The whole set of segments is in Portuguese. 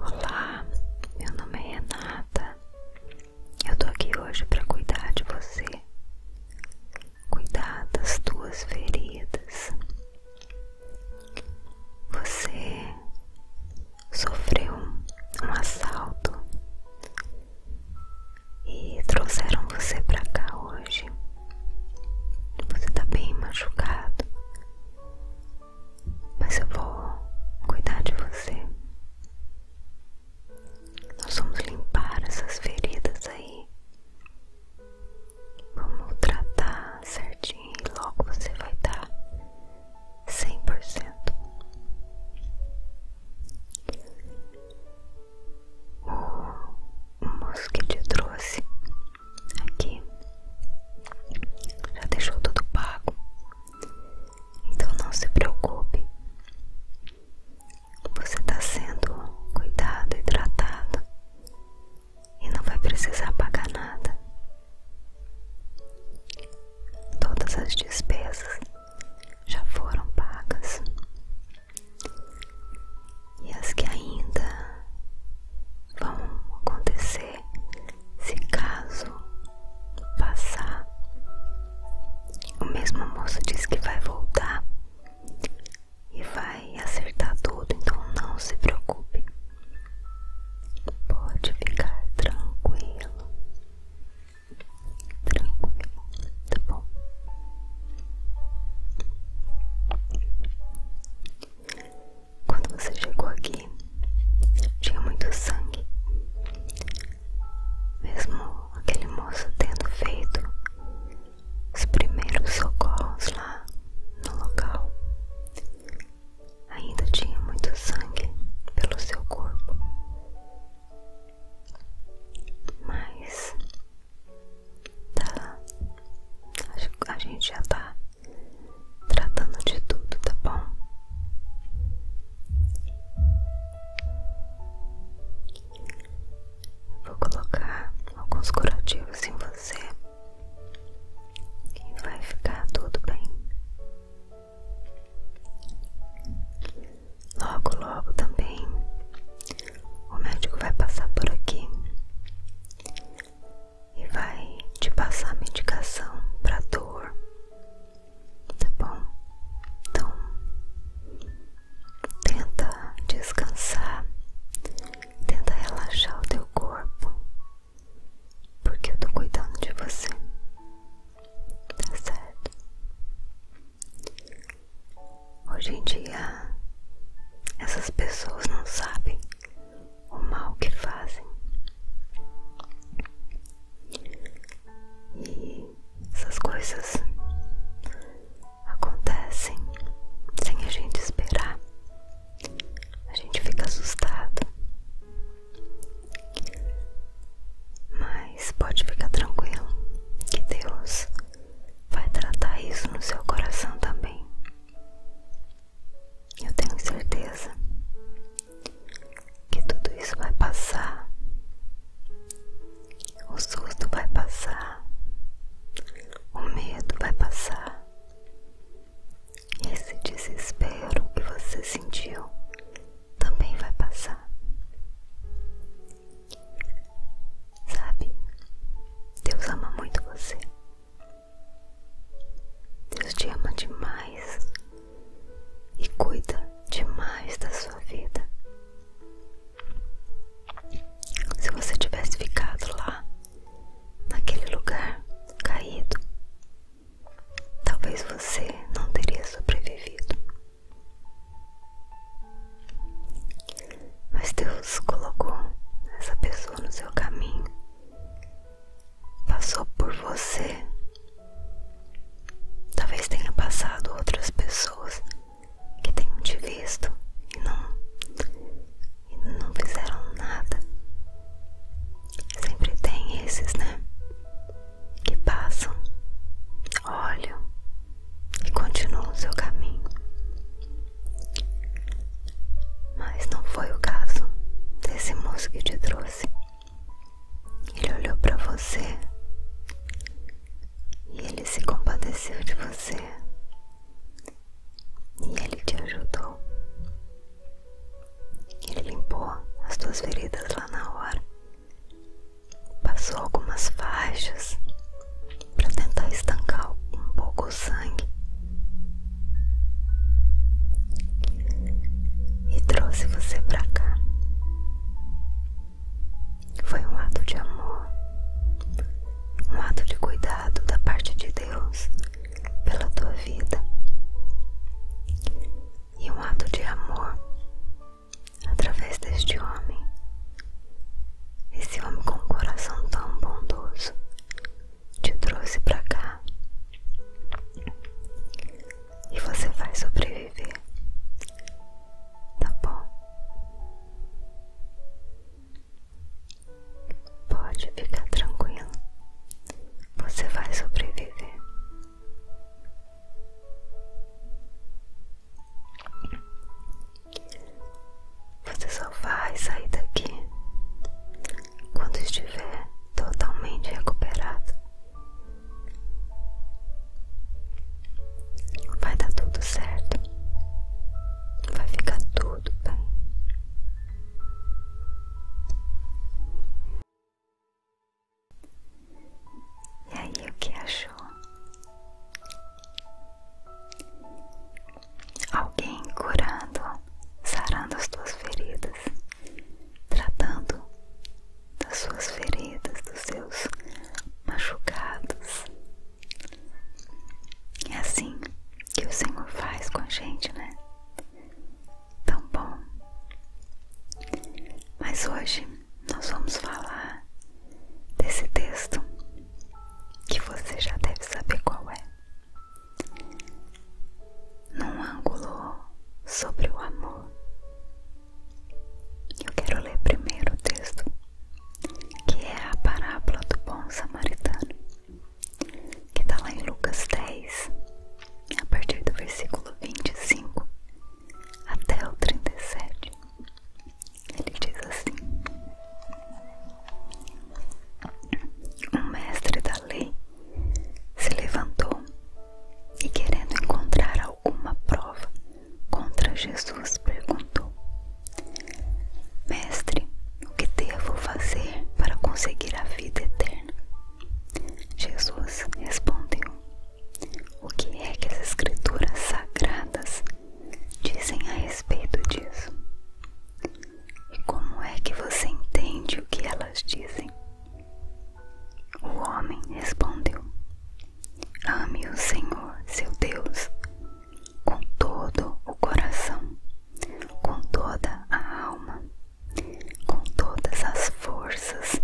Olá, meu nome é Nada. Eu tô aqui hoje para cuidar de você, cuidar das tuas feridas. Você sofreu um assalto e trouxeram você para cá hoje. Você tá bem machucado, mas eu vou cuidar de você. Nós vamos limpar essas feridas aí. Vamos tratar certinho e logo você vai estar 100%. O moço que te trouxe aqui já deixou tudo pago. Então não se preocupe. Você está sendo cuidado e tratado e não vai precisar pagar nada. Todas as despesas já foram pagas e as que ainda vão acontecer se caso passar. O mesmo moço diz que vai voltar e vai acertar tudo, então não se preocupe. Pode ficar tranquilo. Tranquilo, tá bom? Quando você chegou aqui, tinha muito sangue. Mesmo aquele moço tendo feito os primeiros socorros lá no local, ainda tinha muito sangue pelo seu corpo. Mas tá, a gente já tá tratando de tudo, tá bom? Vou colocar alguns curativos em você e vai ficar tudo bem. Logo, logo também o médico vai passar por aqui e vai te passar medicação para dor tá bom? Então, tenta descansar, tenta relaxar o teu corpo, porque eu tô cuidando de você, tá certo? Hoje em dia, essas pessoas não sabem o mal que fazem. E essas coisas acontecem sem a gente esperar. A gente fica assustado. Mas pode ficar tranquilo que Deus vai tratar isso no seu coração também. Eu tenho certeza que tudo isso vai passar, o susto vai passar, o medo vai passar, esse desespero que você sentiu também vai passar. Sabe, Deus ama muito você. Deus te ama demais e cuida demais da sua vida. Se você tivesse ficado lá, naquele lugar caído, talvez você não teria sobrevivido. Mas Deus colocou essa pessoa no seu caminho, passou por você Talvez tenha passado outras pessoas que tenham te visto e não, e não fizeram nada. Sempre tem esses, né? Que passam, olham e continuam o seu caminho. Mas não foi o caso desse moço que te trouxe. Ele olhou para você e ele se compadeceu de você e ele te ajudou. Ele limpou as tuas feridas lá na hora, passou algumas faixas para tentar estancar um pouco o sangue e trouxe você para cá. Foi um ato de amor, um ato de cuidado da parte de Deus pela tua vida e um ato de amor através deste homem. Esse homem com um coração tão bondoso te trouxe para cá e você vai sobreviver. Tá bom? Pode ficar tranquilo. Você vai sobreviver. Você só vai sair daqui quando estiver totalmente recuperado. Vai dar tudo certo. Vai ficar tudo bem. E aí, o que achou? Alguém curando, sarando as tuas feridas, tratando das suas feridas, dos seus machucados. É assim que o Senhor faz com a gente, né? Tão bom. Mas hoje nós vamos falar desse texto que você já deve saber qual é. Num ângulo sobre o amor. Eu quero ler primeiro o texto, que é a parábola do bom samaritano, que está lá em Lucas 10, a partir do versículo 25 até o 37. Ele diz assim: Um mestre da lei se levantou e, querendo encontrar alguma prova contra Jesus, perguntou: Mestre, o que devo fazer para conseguir a vida eterna? Jesus respondeu: O que é que as Escrituras sagradas dizem a respeito disso? E como é que você entende o que elas dizem? O homem respondeu: Ame o Senhor, seu Deus, com todo o coração, com toda a alma, com todas as forças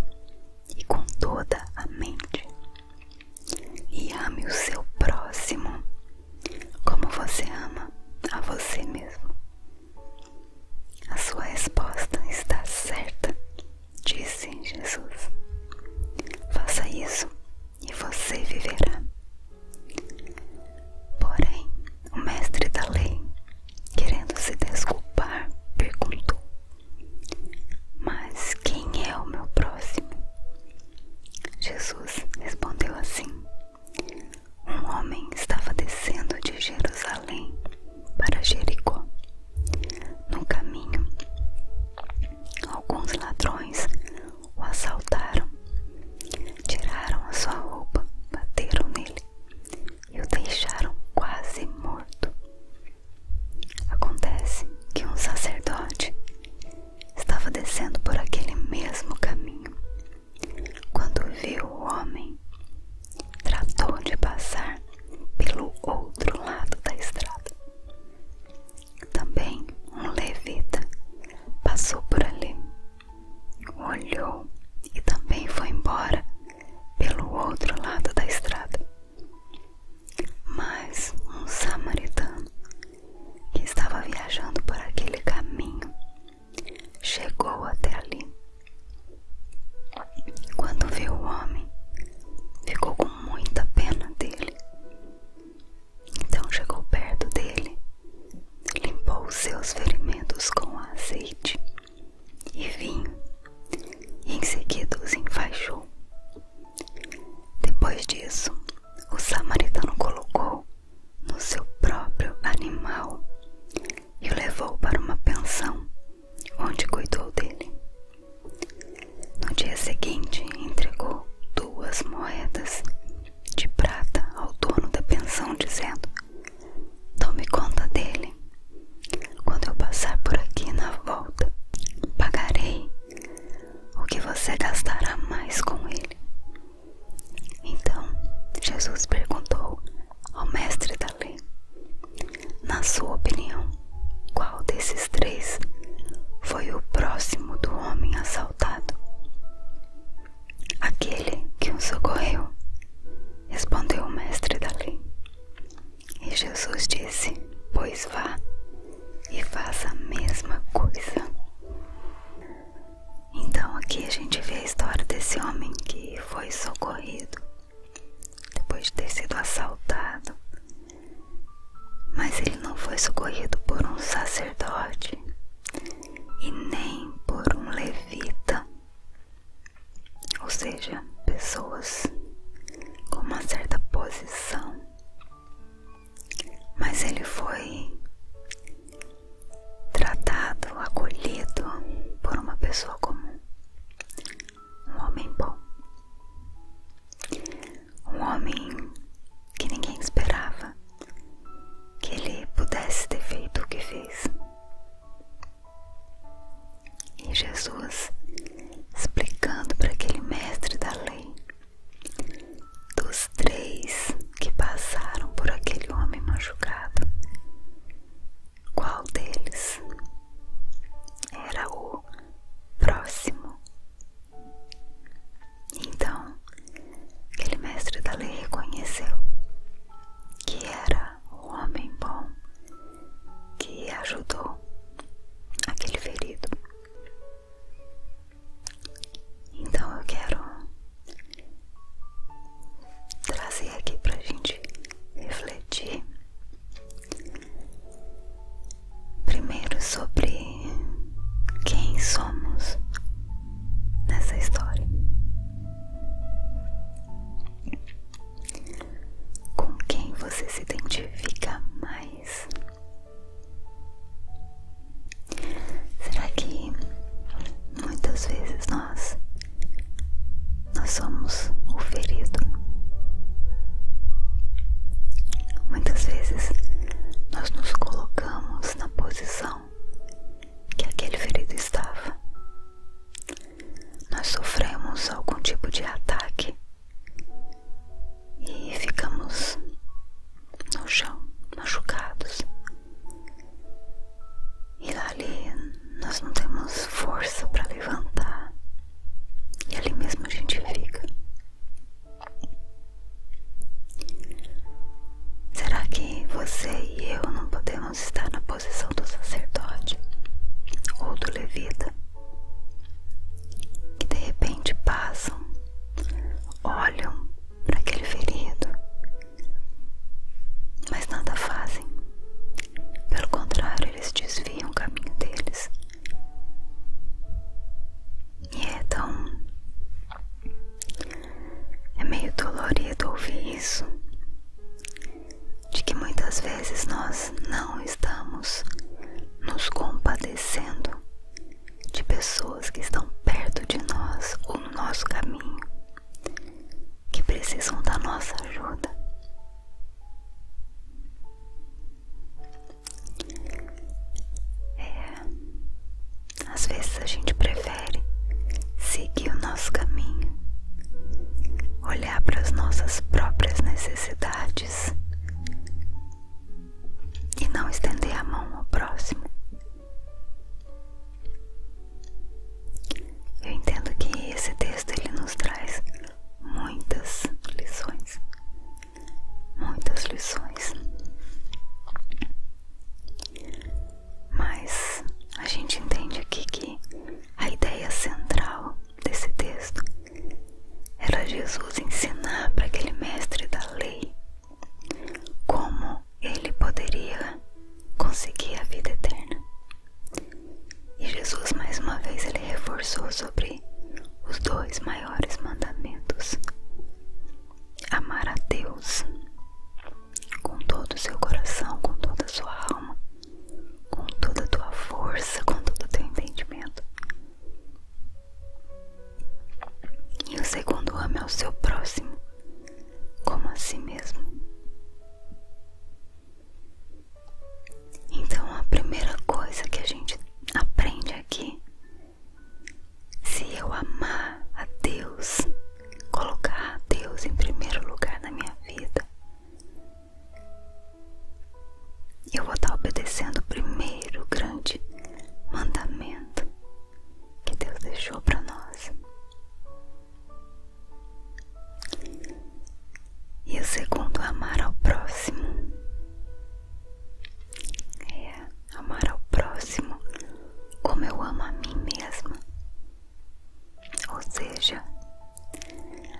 e com toda a mente. E ame o seu próximo como você ama a você mesmo. A sua resposta está certa disse Jesus. Faça isso e você viverá. Porém, o mestre da lei, querendo se desculpar, perguntou: Mas quem é o meu próximo? Jesus respondeu assim: Um homem estava descendo de Jerusalém para Jericó no caminho, alguns ladrões o assaltaram, tiraram a sua roupa, bateram nele e o deixaram quase morto. Acontece que um sacerdote estava descendo por aquele mesmo caminho. Quando viu o homem, tratou de passar pelo outro lado da estrada. Também um levita passou por ali, olhou e também foi embora pelo outro lado da estrada. Mas um samaritano que estava viajando por aquele caminho chegou até ali quando viu o homem, ficou com muita pena dele. Então chegou perto dele, limpou seus ferimentos com azeite e vinho, e em seguida os enfaixou. Depois disso, o samaritano colocou no seu próprio animal e o levou para uma pensão onde cuidou dele. No dia seguinte, entregou duas moedas de prata ao dono da pensão, dizendo: Tome conta dele. Quando eu passar por aqui na volta, pagarei o que você gastará mais com ele. Então Jesus perguntou ao mestre da Sally. Na sua opinião, qual desses três foi o próximo do homem assaltado? Aquele que o socorreu, respondeu o mestre da lei. E Jesus disse: Pois vá e faça a mesma coisa. Então aqui a gente vê a história desse homem que foi socorrido depois de ter sido assaltado, mas ele não foi socorrido por um sacerdote e nem por um levita, ou seja, pessoas com uma certa posição, mas ele foi tratado, acolhido por uma pessoa comum um homem bom, um homem que ninguém esperava que ele pudesse ter feito o que fez. E Jesus explicando para aquele mestre da lei dos três que passaram por aquele homem machucado, qual deles era o próximo. Então, aquele mestre da lei reconheceu que era o homem bom que ajudou aquele ferido. Então eu quero trazer aqui para a gente refletir Primeiro sobre quem somos nessa história. Com quem você se identifica mais? Será que muitas vezes nós nós somos o ferido. Muitas vezes nós nos colocamos na posição que aquele ferido estava. Nós sofremos algum tipo de ataque e ficamos no chão, machucados. E lá ali nós não temos força para levantar, e ali mesmo a gente fica. Será que você e eu não podemos estar na posição do sacerdote ou do levita? Que de repente passam, olham para aquele ferido, mas nada fazem, pelo contrário, eles desviam o caminho deles. E é tão. É meio dolorido ouvir isso, de que muitas vezes nós não estamos nos compadecendo de pessoas que estão perto de nós ou no nosso caminho, que precisam da nossa ajuda. É, às vezes a gente prefere seguir o nosso caminho, olhar para as nossas próprias necessidades e não estender a mão ao próximo. Eu entendo que esse texto ele nos traz muitas lições, muitas lições. Mas a gente entende aqui que a ideia central desse texto era Jesus ensinar para aquele mestre da lei como ele poderia conseguir a vida eterna. E Jesus mais uma vez ele reforçou sobre os dois maiores mandamentos: amar a Deus com todo o seu coração, com toda a sua alma, com toda a tua força, com todo o teu entendimento. E o segundo ame ao seu próximo como a si mesmo. Então, a primeira coisa que a gente aprende aqui: se eu amar a Deus, colocar a Deus em primeiro lugar na minha vida, eu vou estar obedecendo o primeiro grande mandamento que Deus deixou para nós e o segundo amar ao próximo. É amar ao próximo como eu amo a mim mesma. Ou seja,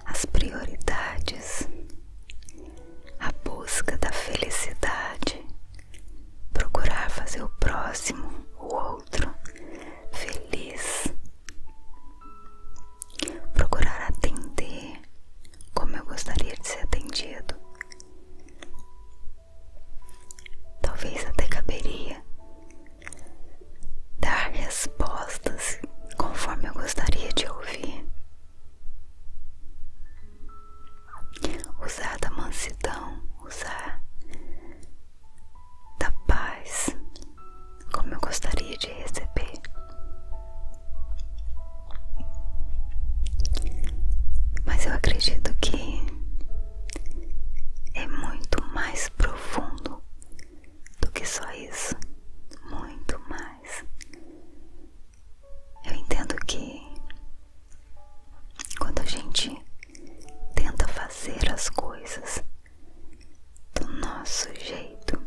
as prioridades, a busca da felicidade, procurar fazer o próximo, o outro, feliz procurar atender como eu gostaria de ser atendido. Talvez até caberia dar respostas conforme eu gostaria de ouvir. Usar da mansidão, usar da paz como eu gostaria de receber. Mas eu acredito que é muito mais profundo do que só isso. Muito mais. Eu entendo que quando a gente tenta fazer as coisas do nosso jeito,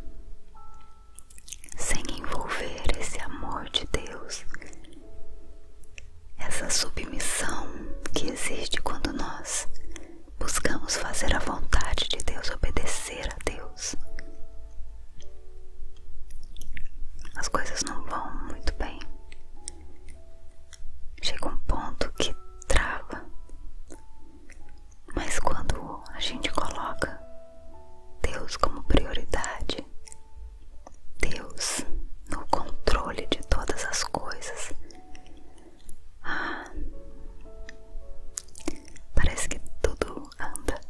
sem envolver esse amor de Deus, essa submissão que existe quando nós buscamos fazer a vontade de Deus, obedecer a Deus. As coisas não vão muito bem. Chega um ponto que trava. Mas quando a gente coloca Deus como prioridade, Deus no controle de todas as coisas. Ah, parece que tudo anda,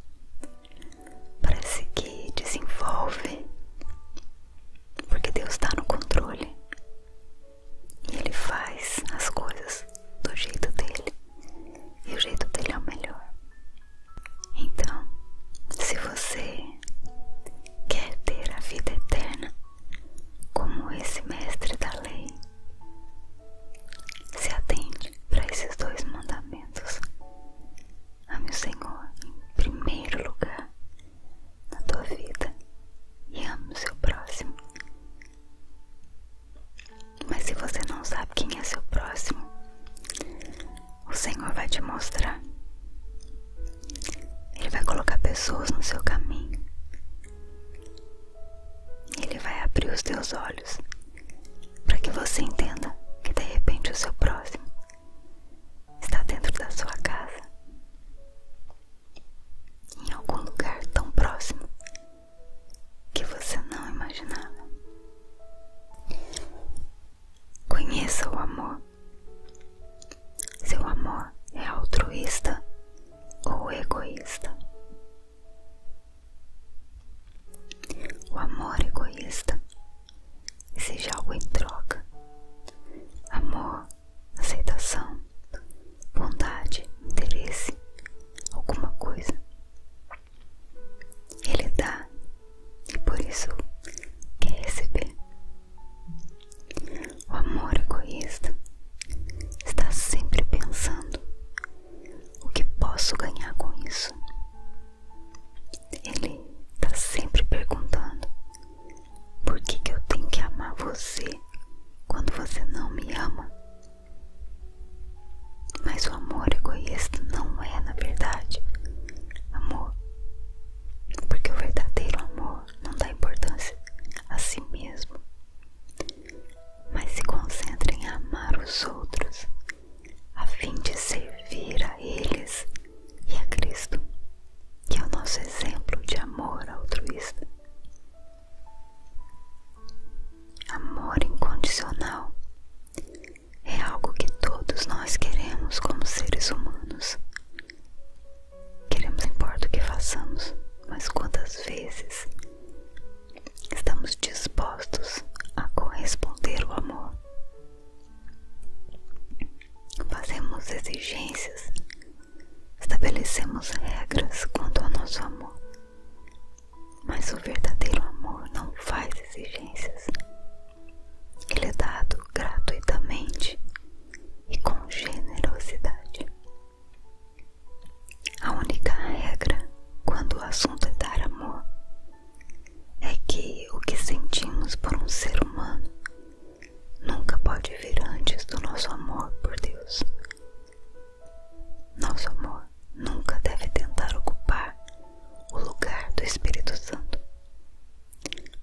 parece que desenvolve, porque Deus está no controle e Ele faz as coisas do jeito dele. E o jeito dele é o melhor. Então, se você quer ter a vida eterna, como esse mestre da lei, se atende para esses dois mandamentos. Ame o Senhor em primeiro lugar na tua vida e ame o seu próximo. Mas se você não sabe quem é seu próximo, o Senhor vai te mostrar. Ele vai colocar pessoas no seu caminho. Ele vai abrir os teus olhos para que você entenda que de repente o seu próximo está dentro da sua casa, em algum lugar tão próximo que você não imaginava. Conheça o amor. Seu amor é altruísta ou egoísta? O amor egoísta exige algo em troca: amor, aceitação, bondade, interesse, alguma coisa. Ele dá e por isso quer receber. O amor egoísta está sempre pensando: o que posso ganhar com isso? Ele está sempre perguntando: por que, que eu tenho que amar você quando você não me ama? Mas o amor egoísta não é, na verdade, amor. Porque o verdadeiro amor não dá importância a si mesmo, mas se concentra em amar os outros, a fim de servir a eles e a Cristo, que é o nosso exemplo de amor altruísta. Amor incondicional é algo que todos nós queremos como seres humanos. Queremos, importa o que façamos, mas quantas vezes estamos dispostos a corresponder o amor? Fazemos exigências, estabelecemos regras quanto ao nosso amor, mas o verdadeiro amor não faz exigências. Ele é dado gratuitamente e com generosidade. A única regra quando o assunto é dar amor é que o que sentimos por um ser humano nunca pode vir antes do nosso amor por Deus. Nosso amor nunca deve tentar ocupar o lugar do Espírito Santo,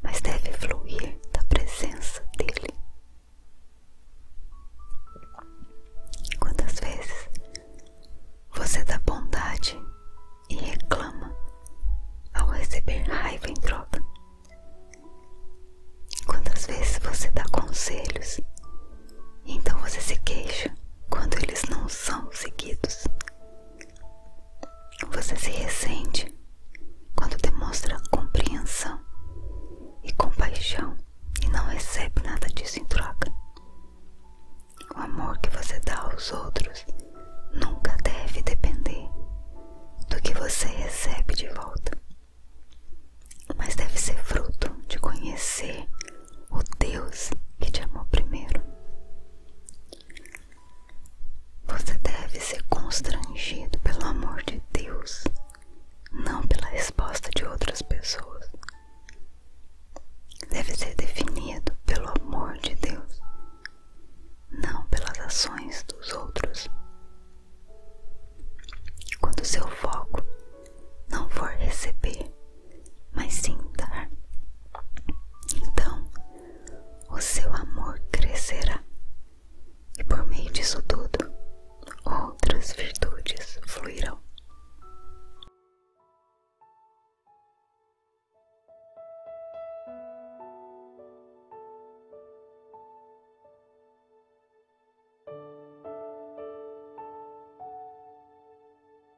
mas deve fluir da presença dele. Quantas vezes você dá bondade e reclama ao receber raiva em troca? Quantas vezes você dá conselhos então você se queixa quando eles não são seguidos. Você se ressente quando demonstra compreensão e compaixão e não recebe nada disso em troca. O amor que você dá aos outros nunca deve depender do que você recebe de volta, mas deve ser fruto de conhecer o Deus que te amou primeiro. Você deve ser constrangido pelo amor de Deus, não pela resposta de outras pessoas. Deve ser definido pelo amor de Deus, não pelas ações dos outros. Quando seu foco não for receber, mas sim dar. Então, o seu amor crescerá e por meio disso tudo, outras virtudes fluirão.